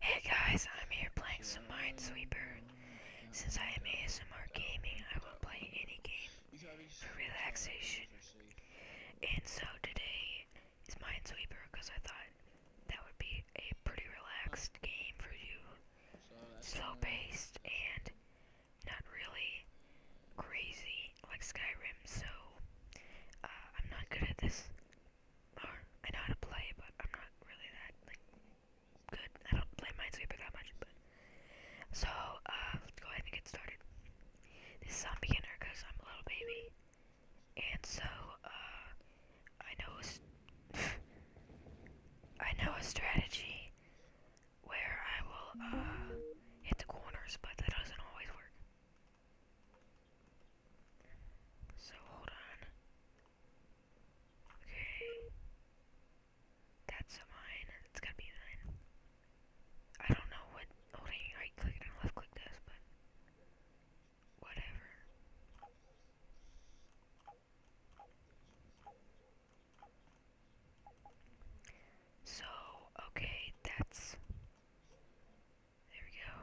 Hey guys, I'm here playing some Minesweeper. Since I am ASMR gaming, I will play any game for relaxation. And so today is Minesweeper because I thought that would be a pretty relaxed game for you. Slow paced and not really crazy like Skyrim, so uh, I'm not good at this. I know how to play, but I'm not really that like good. I don't play Minesweeper that much, but so uh, let's go ahead and get started. This is on beginner because I'm a little baby, and so uh, I know I know a strategy where I will hit the corners, but that doesn't always work. So hold on. Okay. That's a mine. It's gotta be mine. I don't know what holding right click and left click does, but whatever. So, okay, that's. There we go.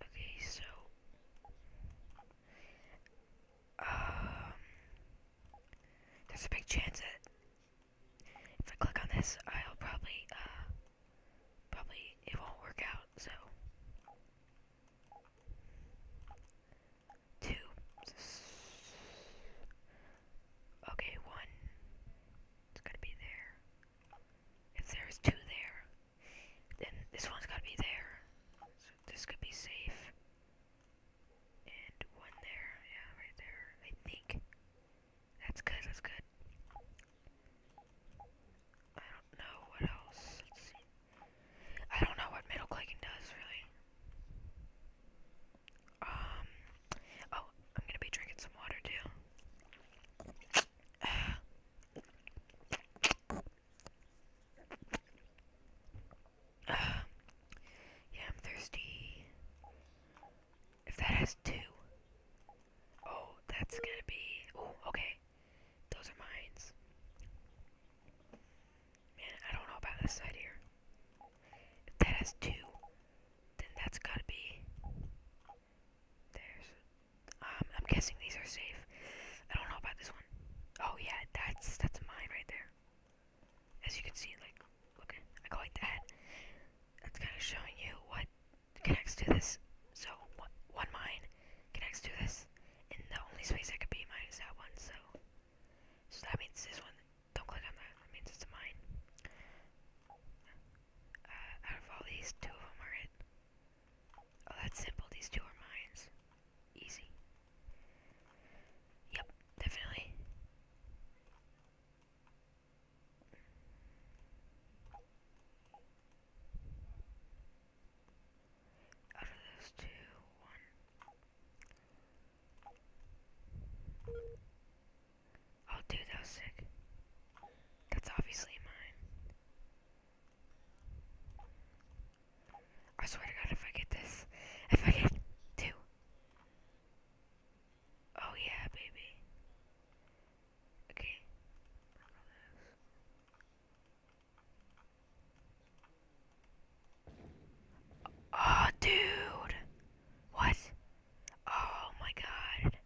Okay, so um, there's a big chance that if I click on this, I'll probably, uh, probably it won't work out, so. Two. Okay, one. It's gotta be there. If there's two there, then this one's gotta be there. So this could be safe. And one there, yeah, right there, I think. That's good, that's good. I don't know what else. Let's see. I don't know what middle clicking does really. Um oh, I'm gonna be drinking some water too. yeah, I'm thirsty. If that has two. Oh, that's gonna be. Oh, okay. Those are mines. Man, I don't know about this side here. If that has two, then that's gotta be. There's. Um, I'm guessing these are safe. I don't know about this one. Oh yeah, that's that's a mine right there as you can see, like, look, I go like that. That's kind of showing you what connects to this. So, one, mine connects to this, and the only space that could be minus that one, so. So that means this one, don't click on that, that means it's a mine. Uh, out of all these, two of them are it. Oh, that's simple, these two are mines. Easy. Yep, definitely. Out of those two, one. Oh, dude, that was sick. That's obviously mine. I swear to God, if I get this, if I get two, Oh yeah, baby. Okay. Oh, dude. What? Oh my god.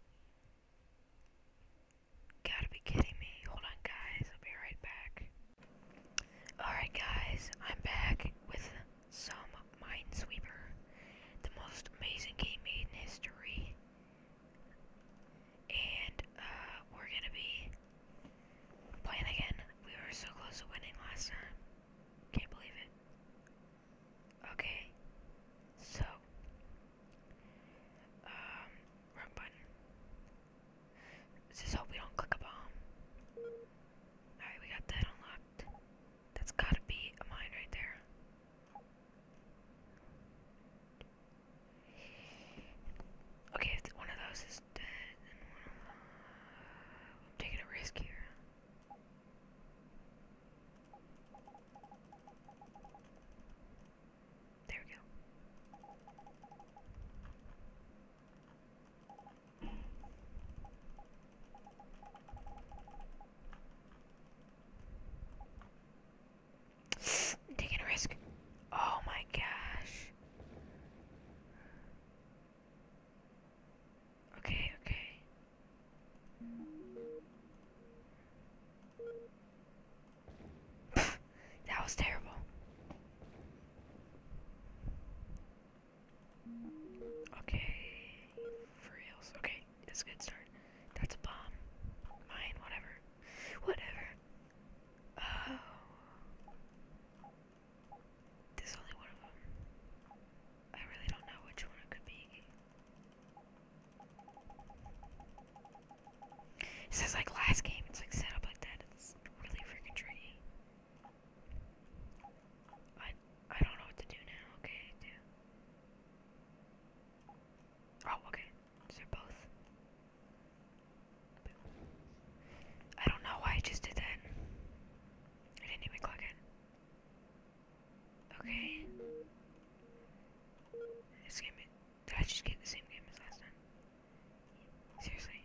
Gotta be kidding me. Hold on, guys. I'll be right back. Alright, guys, I'm back with some Minesweeper, the most amazing game made in history. And uh, we're gonna be playing again. We were so close to winning last time. Can't believe it. Okay, so, wrong um, button. Let's just hope we don't click a bomb. Alright, we got that unlocked. That's gotta be a mine right there. Okay, one of those is dead, uh, taking a risk here. There we go. Taking a risk. Oh my gosh. Okay, okay. That was terrible. Okay. For Okay, that's good start. That's a bomb. Mine, whatever. Whatever. Oh. There's only one of them. I really don't know which one it could be. This is like last game, it's like set up like that. It's really freaking tricky. I I don't know what to do now. Okay, Oh, okay. So both. I don't know why I just did that. I didn't even click it. Okay. This game did I just get the same game as last time? Seriously?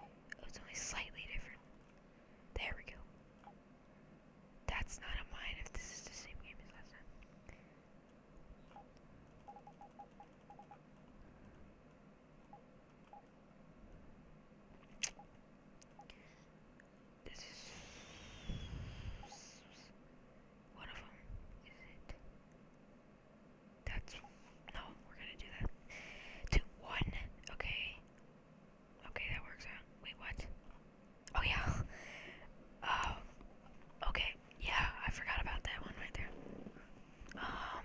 Oh, it's only slightly different. There we go. That's not a mine if this is the same game as last time. This is one of them is it. That's no. We're gonna do that. Two, one. Okay. Okay, that works out. Wait, what? Oh yeah. Um. Okay. Yeah, I forgot about that one right there. Um.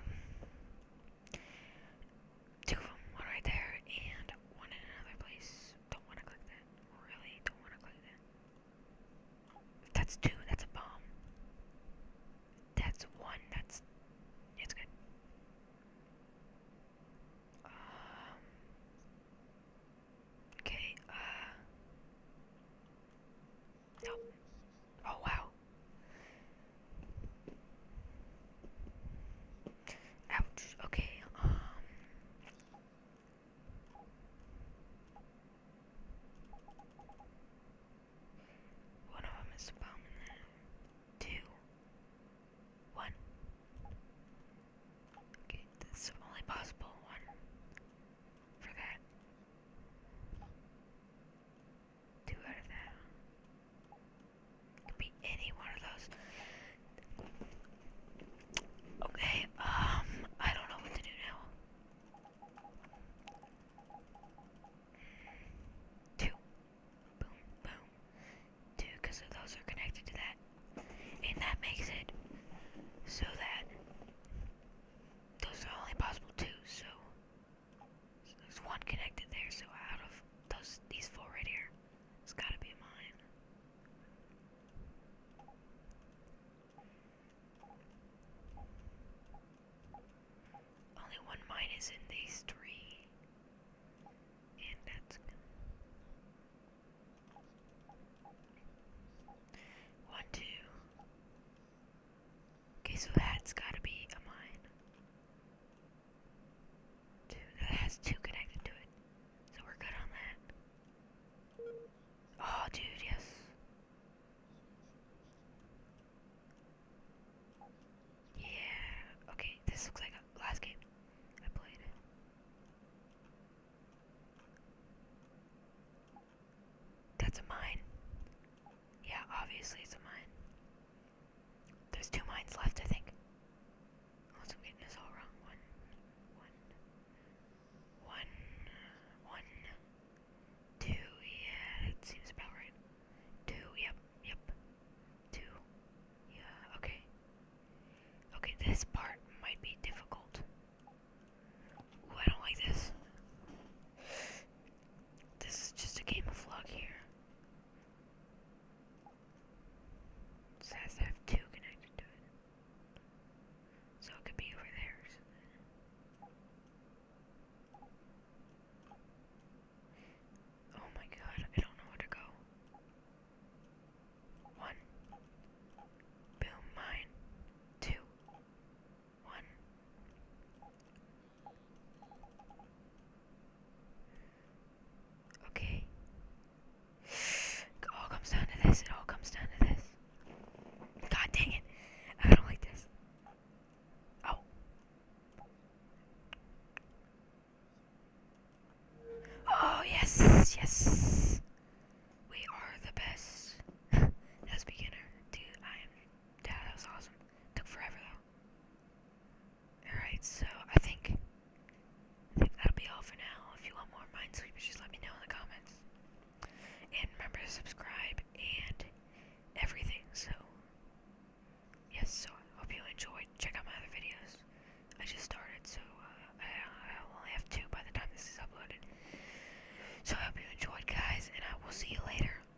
Two of them, one right there, and one in another place. Don't want to click that. Really, don't want to click that. That's two. That's a bomb. That's one. That's. It's good. Um, okay, uh. Oh, wow. Ouch. Okay, um. One of them is a bomb in there. Two. One. Okay, this only possible one. For that. Two out of that. Could be any one of those. Okay, um, I don't know what to do now. Two. Boom, boom. Two, because those are connected to that. And that makes it so that those are only possible two, so, there's one connected there, so out of those these four right here, it's gotta be mine. Only one mine is in these three, and that's one, two. Okay, so that's gotta be a mine. Two, that has two connected to it. So we're good on that. Oh, dude, yes. Yeah. Okay, this looks like last game I played. That's a mine. Yeah, obviously it's a mine. There's two mines left, I think. Unless I'm getting this all wrong. One, one, one, one, two. Yeah, that seems about right. Two. Yep. Yep. Two. Yeah. Okay. Okay. This part might be difficult. Ooh, I don't like this. This is just a game of luck here. So it have two connected to it. So it could be over there Oh my god, I don't know where to go. One. Boom, mine. Two. One. Okay. It all comes down to this. It all comes down to this. God dang it. I don't like this. Oh. Oh, yes. Yes. We are the best. That's beginner. Dude, I am. Yeah, that was awesome. Took forever, though. Alright, so I think that'll be all for now. If you want more mind Minesweepers, just let me know in the comments. And remember to subscribe and everything, so yes, so I hope you enjoyed. Check out my other videos. I just started, so uh, I only have two by the time this is uploaded. So I hope you enjoyed, guys, and I will see you later.